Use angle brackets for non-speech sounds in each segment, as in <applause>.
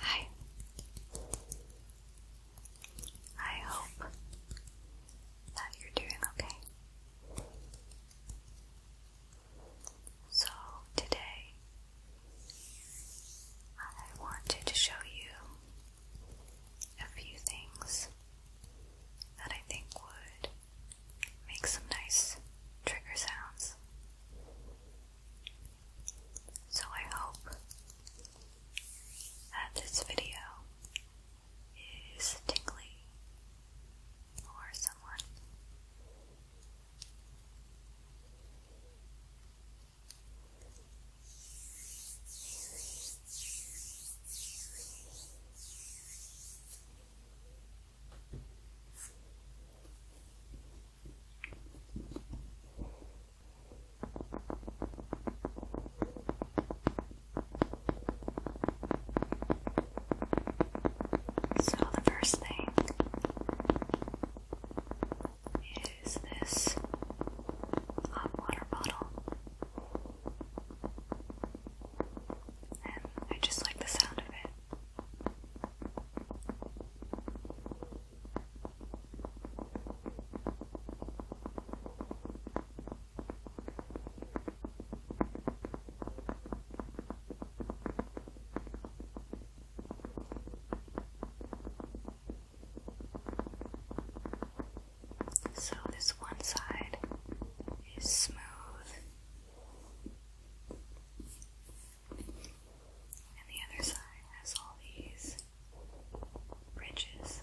Hi. I hope that you're doing okay. So, today I wanted to show you a few things that I think would make some nice trigger sounds. So I hope that this video is tingly for someone. So, the first thing is this hot water bottle, and I just like the sound of it. So, this one side is smooth, and the other side has all these ridges.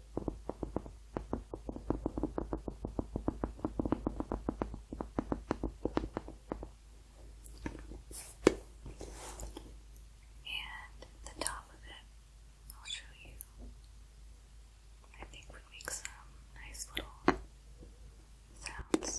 And the top of it, I'll show you. I think would make some nice little sounds.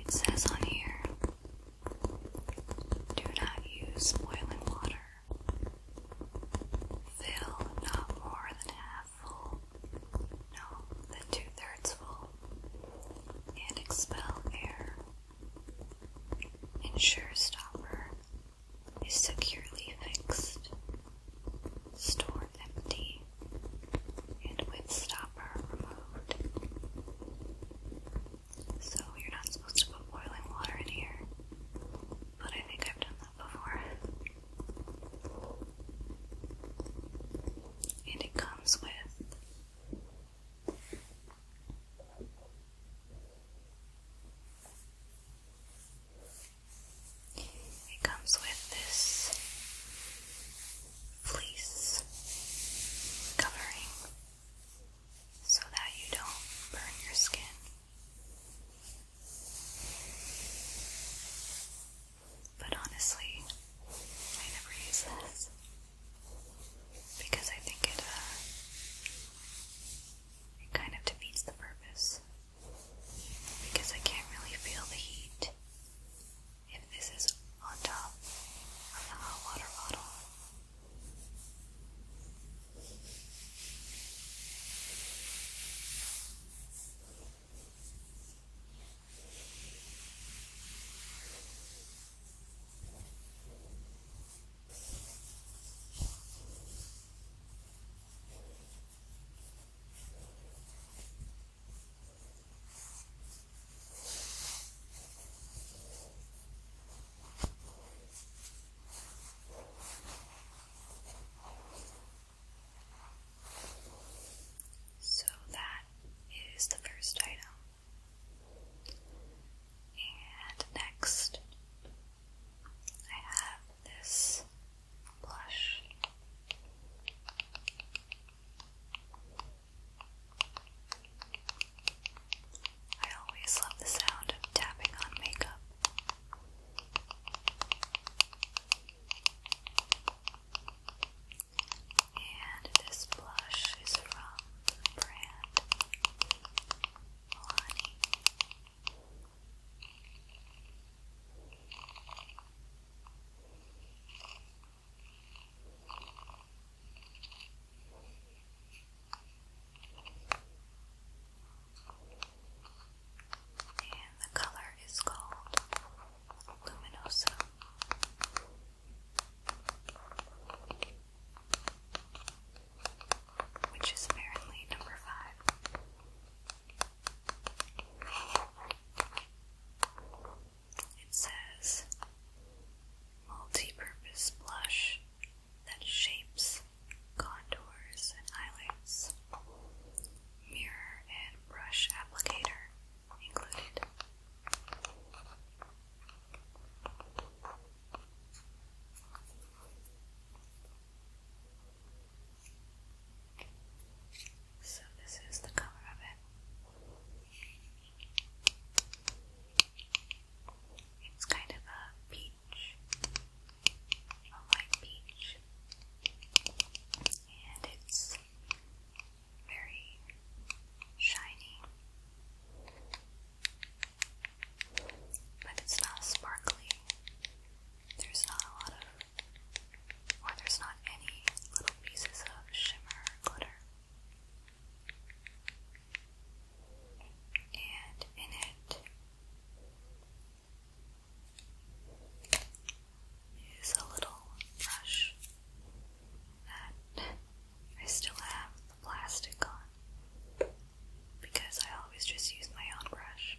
It says on here do not use boiling water. Fill not more than half full, no, than two thirds full, and expel air. Ensure stopper is securely fixed. Store empty and with stopper. So you're not supposed to put boiling water in here, but I think I've done that before. And it comes with it comes with this fleece covering so that you don't burn your skin. But honestly, I never use this because I think it uh, it kind of defeats the purpose because I can't really feel the heat if this is on top of the water bottle. So that is the first item. And next, I have this blush. I always love the sound of tapping on makeup. And this blush is from the brand Milani. And the color is called Luminosa. Which is apparently number five. It says multi-purpose blush that shapes, contours, and highlights. Mirror and brush applicator included. So, this is the color of it. It's kind of a peach, a light peach, and it's very shiny, but it's not sparkly. There's not a lot of, or there's not any little pieces of shimmer glitter and in it is a little brush that I still have the plastic on because I always just use my own brush.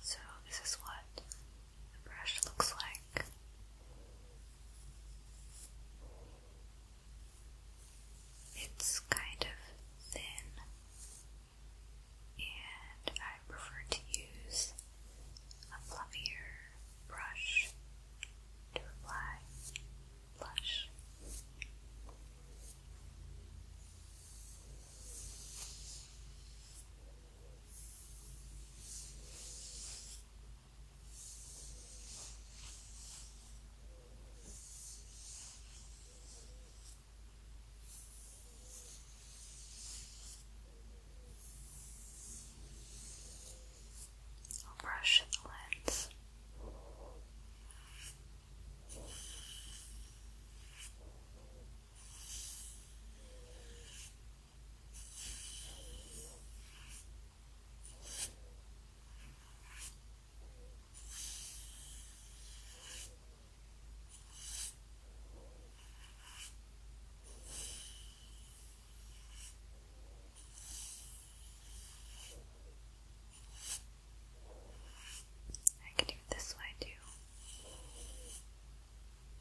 So, this is what the brush looks like. It's kind of thin, and I prefer to use a fluffier brush to apply blush. I'll brush the lens. I can do this way too.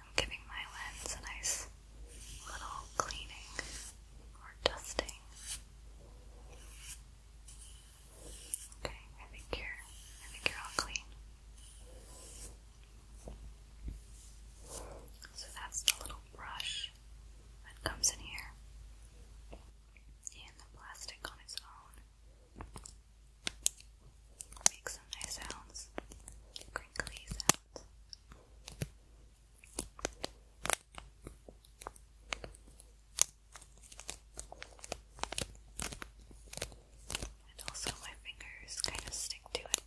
I'm giving my lens a nice little cleaning or dusting. Okay, I think you're all clean. So that's the little brush that comes in here. And the plastic on its own Make some nice sounds, crinkly sounds. And also, my fingers kind of stick to it.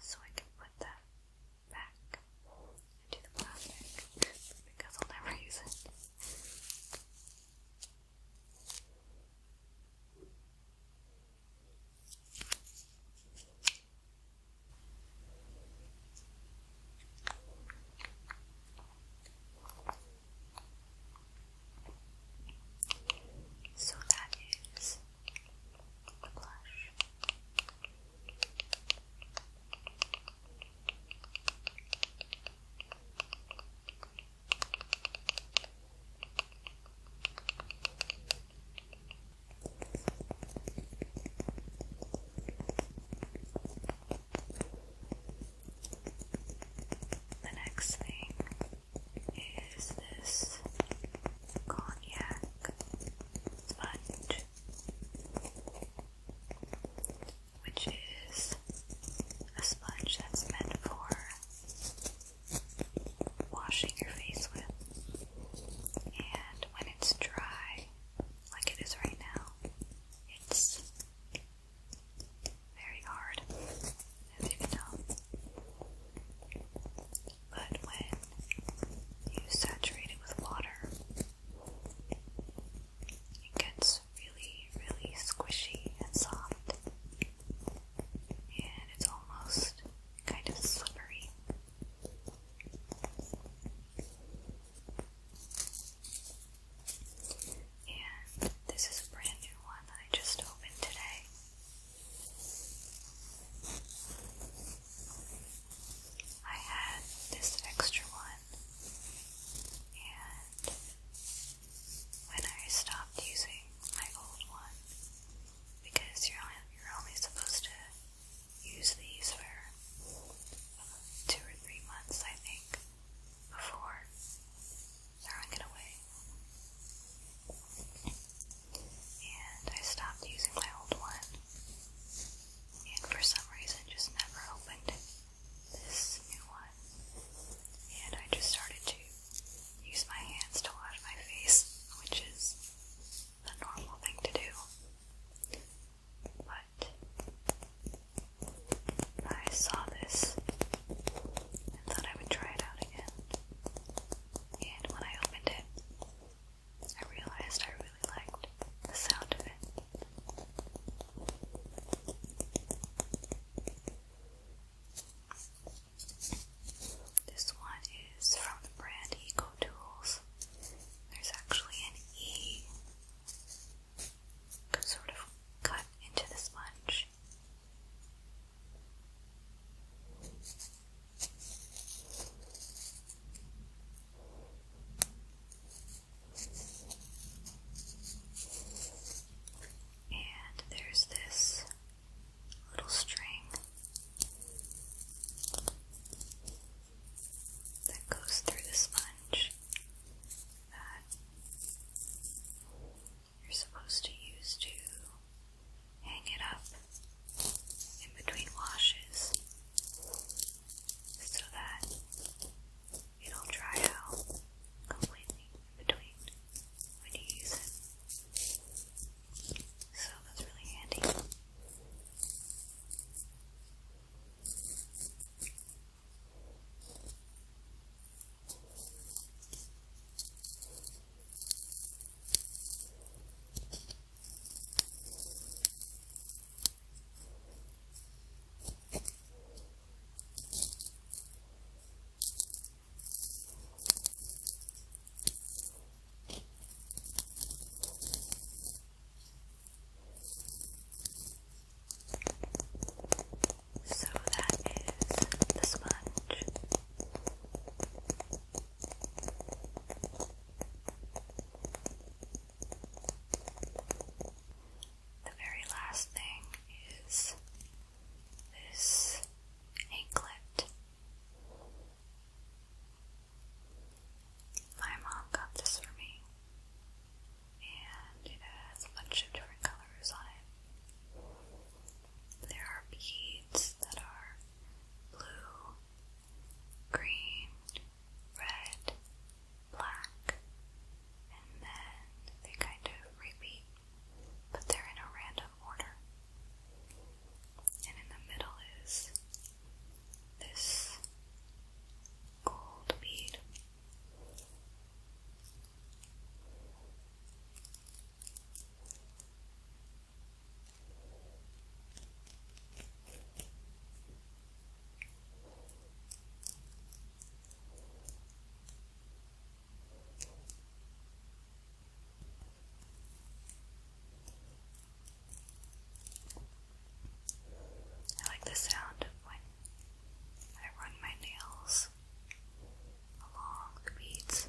So I can put that back into the plastic because I'll never <laughs> use it. So that is blush. The next thing is this cognac sponge which is a sponge that's meant for washing your face with. And when it's dry, like it is right now, it's very hard, as you can tell. But when you saturate it with water, it gets really, really squishy and soft, and it's almost kind of slippery. And this is a brand new one that I just opened today. I had this extra one and when I stopped using my old one, because you're only supposed to use these for uh, two or three months, I think, before throwing it away. And I stopped using my old one and for some reason just never opened this new one. And I just started to use my hands to wash my face, which is the normal thing to do. But I saw this and thought I would try it out again. And when I opened it, I realized I really liked the sound of it. This one is from the brand Eco There's actually an E sort of cut into the sponge. And there's this little string that goes through the sponge that you're supposed to use to hang it up in between washes so that it'll dry out completely between when you use it. So that's really handy. So that is the sponge. The very last thing is this anklet. My mom got this for me, and it has a bunch of different colors on it. There are beads that are blue, green, red, black, and then they kind of repeat, but they're in a random order. And in the middle is this gold bead. I like the sound when I run my nails along the beads.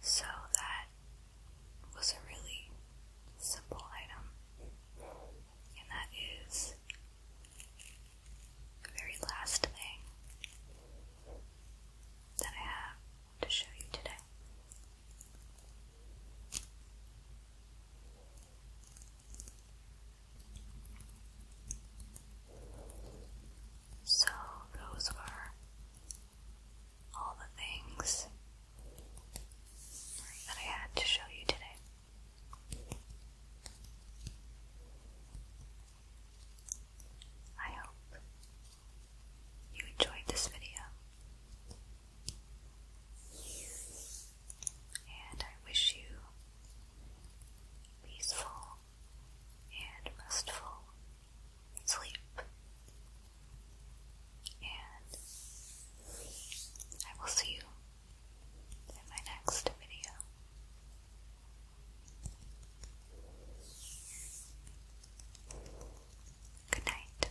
So that was a really simple item, and that is the very last thing that I have to show you today. So, those were all the things that I had to show you today. I hope you enjoyed this video, and I wish you peaceful, and restful sleep. And I will see you in my next video. Good night.